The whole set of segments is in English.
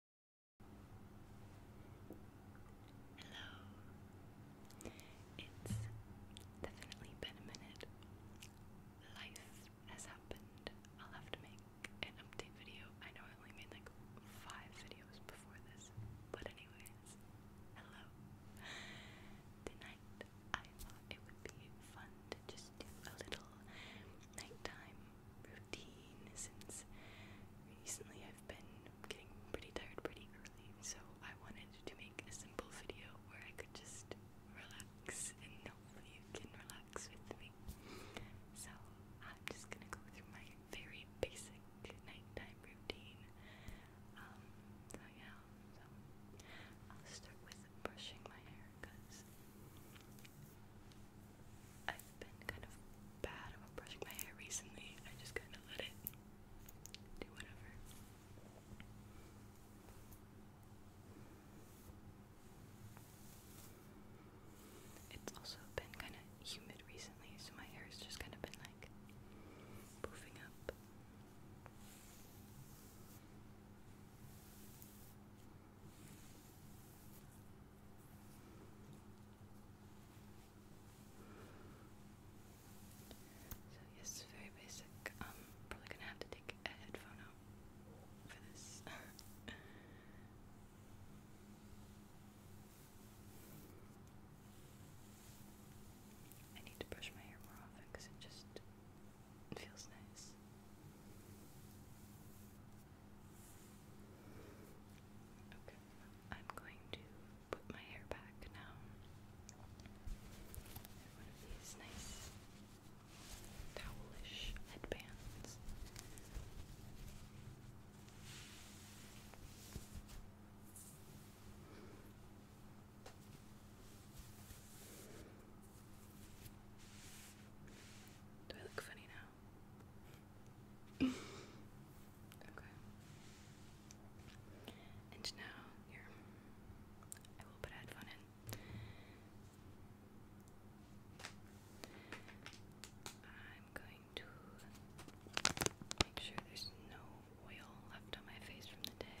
Hello. It's definitely been a minute. Life has happened. I'll have to make an update video. I know I only made like five videos before this, but anyways, hello. Tonight I thought it would be fun to just do a little nighttime routine since recently I've been getting pretty tired pretty early, so I wanted to make a simple video where I could just relax and hopefully you can relax with me. So I'm just gonna go through my very basic nighttime routine. Um, so yeah, I'll start with brushing my hair because I've been kind of bad about brushing my hair recently. I just kind of let it do whatever. It's also been kind of humid recently, so my hair's just kind of been like poofing up. So yes, very basic. Um, probably gonna have to take a headphone out for this. I need to brush my hair more often because it just feels nice. Okay, I'm going to put my hair back now. One of these nice towelish headbands. Do I look funny now? okay. And now, here, I will put a in. I'm going to make sure there's no oil left on my face from the day.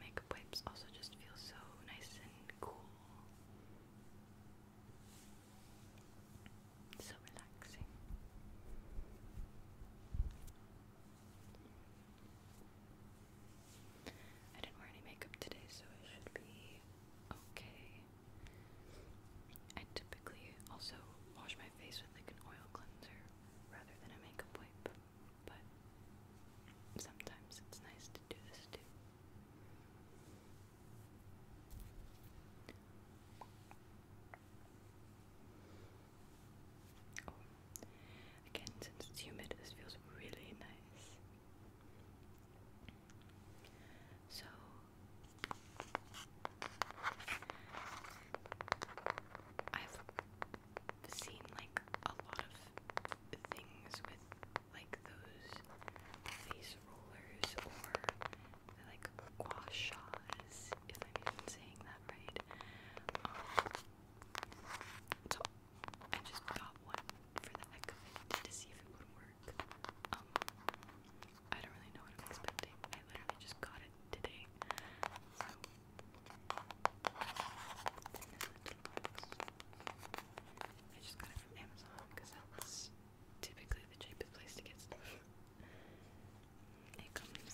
makeup wipes also just feel so nice and cool. So relaxing. I didn't wear any makeup today, so it should be okay. I typically also wash my face with like an oil cleanser rather than a makeup wipe. But sometimes it's nice to do this too. Oh, again, since it's humid, this feels really nice. So, I've seen like a lot of things with like those face rollers or like gua sha's, if I'm saying that right. Um, so I just got one for the heck of it to see if it would work. Um, I don't really know what I'm expecting. I literally just got it today. I just got it from Amazon because that's typically the cheapest place to get stuff. It comes in the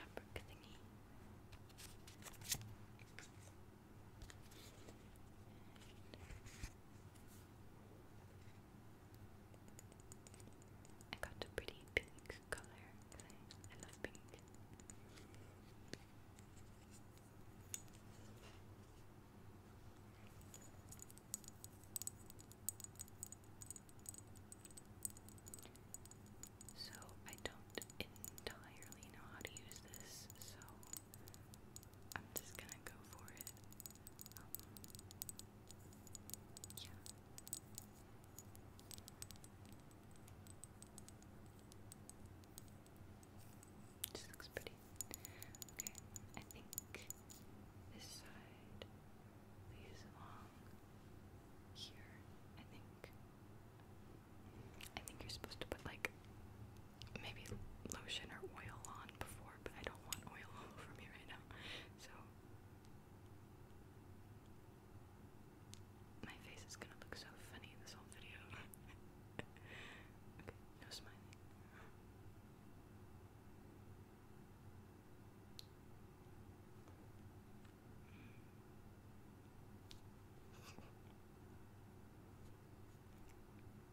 fabric thingy. I got a pretty pink color I, love pink. So I don't entirely know how to use this, so I'm just gonna go for it. Um, yeah. looks pretty. Okay, I think this side leaves along here. I think. I think you're supposed to put like maybe lotion or oil on before, but I don't want oil all over me right now. So my face is gonna look so funny this whole video. okay, no smiling.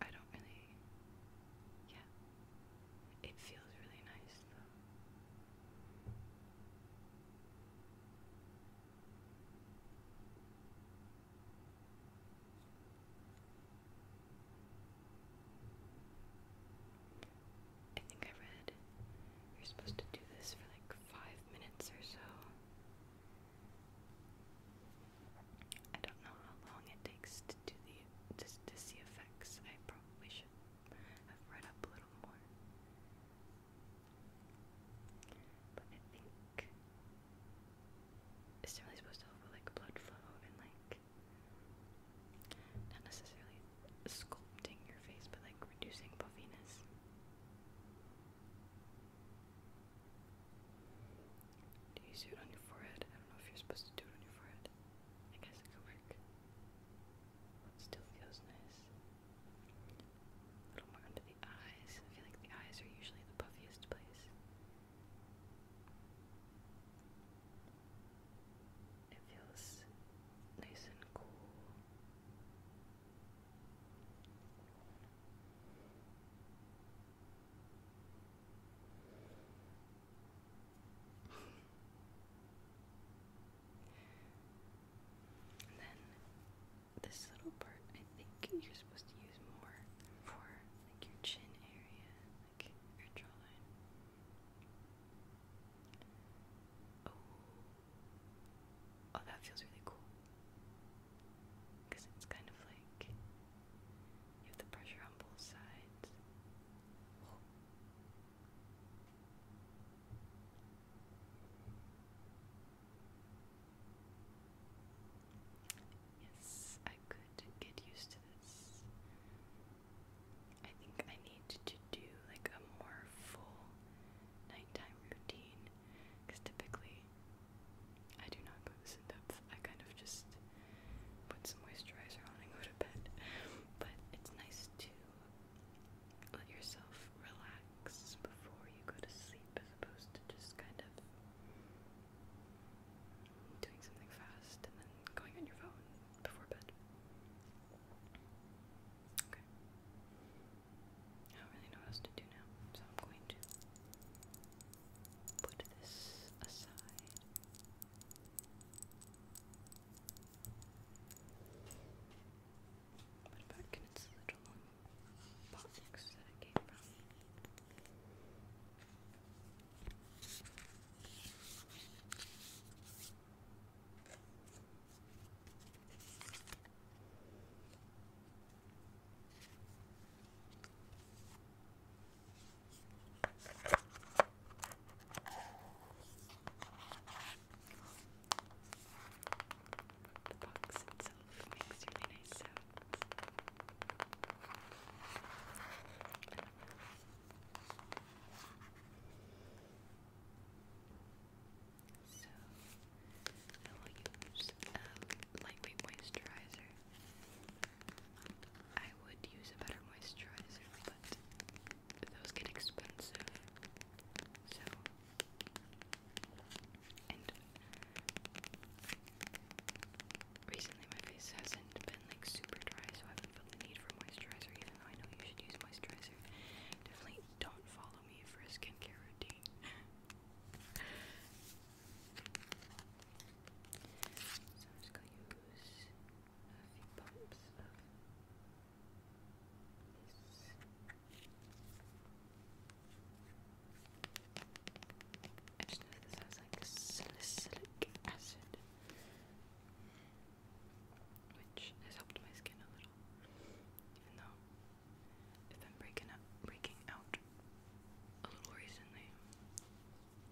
I don't really. Yeah. It feels really nice though. I think I read you're supposed to do this for like five minutes or so. I don't know how long it takes to do the to, to see effects probably should have read up a little more. But I think it's really supposed to like blood flow and like not necessarily sculpting your face, but like reducing puffiness. Do you use it on your forehead? I don't know if you're supposed to do it on your forehead. I guess it could work. Still feels nice. A little more under the eyes. I feel like the eyes are usually the puffiest place. It feels nice and cool then this little part, I think you're supposed to use more for like your chin area, like your jawline. Oh, oh, that feels really cool. Cause it's kind of like you have the pressure on both sides. Yes, I could get used to this. I think I need to do like a more full nighttime routine because typically I do not go to sleep at I kind of just put some moisturizer on and go to bed. But it's nice to let yourself relax before you go to sleep as opposed to just kind of doing something fast and then going on your phone before bed. Okay. I don't really know else to do now, so I'm going to put this aside. What about can its little box that it came from? The box itself makes really nice sounds. So I will use a um, lightweight moisturizer I would use a better moisturizer, but those get expensive. So, and recently my face hasn't been like super dry, so I haven't felt the need for moisturizer, even though I know you should use moisturizer. Definitely don't follow me for a skincare routine. So i just going use a few pumps of this. I this has like salicylic acid, which has helped my skin a little. Even though I've been breaking up, breaking out a little recently.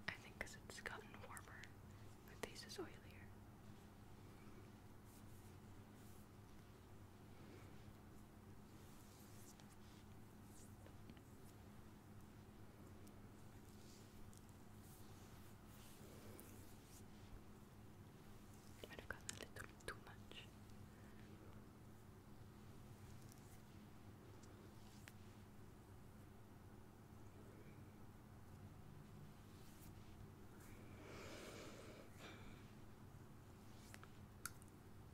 I think because it's gotten warmer. My face is oilier. Might have gotten a little too much.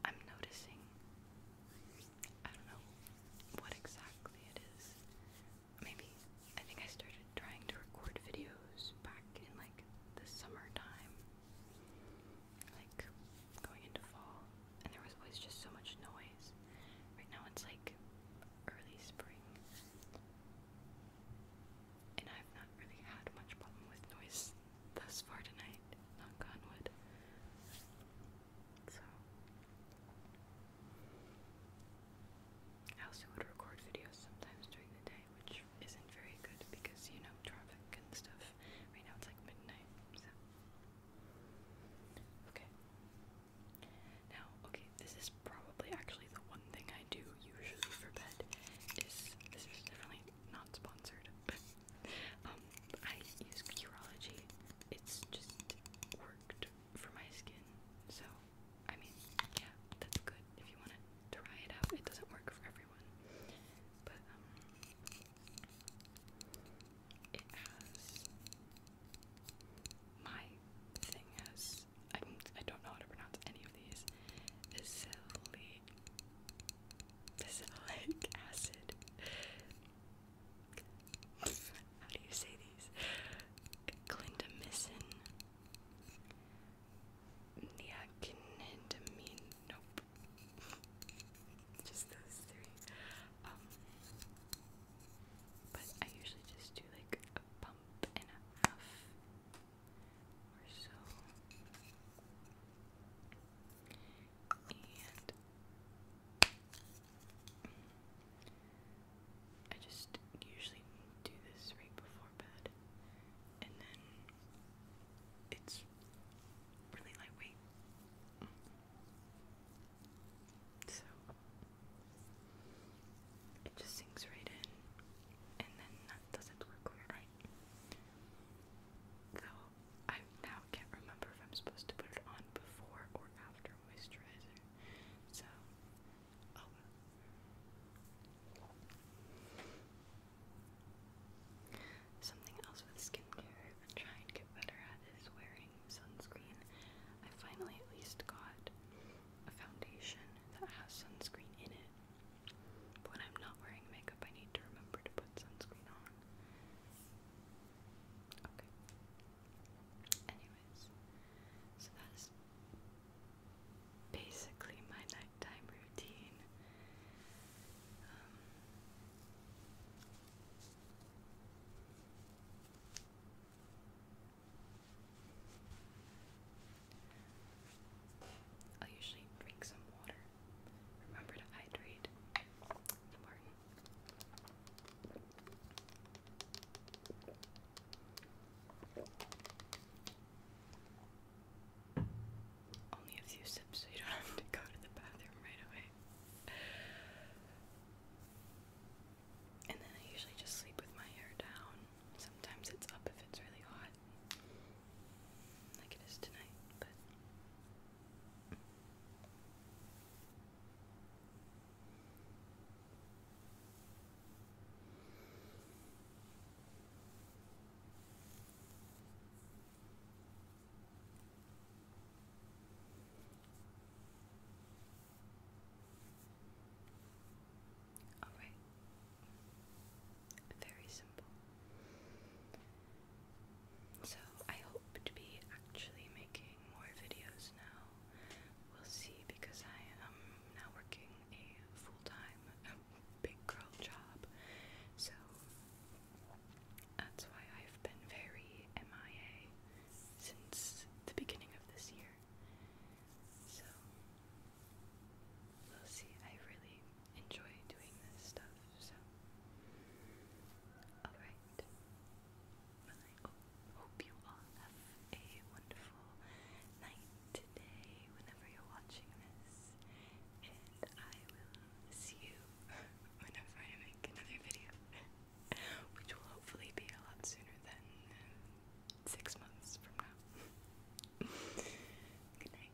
I'm noticing, I don't know what exactly it is. Maybe, I think I started trying to record videos back in like the summertime, like going into fall, and there was always just so much noise. Right now it's like early spring, and I've not really had much problem with noise thus far tonight, knock on So, I also would record videos sometimes during the day, which isn't very good because you know traffic and stuff. Right now it's like midnight, Okay. Now, okay, this is probably actually the one thing I do usually for bed is this is definitely not sponsored, um I use Curology. It's just worked for my skin. So I mean, yeah, that's good if you want it try it out. It doesn't work for everyone, but um, it has my thing has. I I don't know how to pronounce any of these. Acylic, acylic acid. How do you say these? Clindamycin, niacinamide. Nope. just those three. Um, but I usually just do like a pump and a half or so. And I just usually do this right before bed and then it's really lightweight. So it just sinks right in, and then that doesn't work quite right. Though I now can't remember if I'm supposed to put it on before or after moisturizer. So Something else with skincare I've been trying to get better at is wearing sunscreen. I finally at least got a foundation that has sunscreen in it. when I'm not wearing makeup, I need to remember to put sunscreen on. Okay. Anyways, so that is basically my nighttime routine. Um, i usually drink some water. Remember to hydrate. important. Only a few sips so you don't have to go to the bathroom right away. And then I usually just sleep with my hair down. Sometimes it's up if it's really hot, like it is tonight, but. All right. Very simple. So, I hope to be actually making more videos now. We'll see because I am now working a full-time big girl job, so that's why I've been very MIA since the beginning of this year. So we'll see. I really enjoy doing this stuff, so alright hope you all have a wonderful night today, whenever you're watching this, and I will see you whenever I make another video, which will hopefully be a lot sooner than um, six months from now. Good night.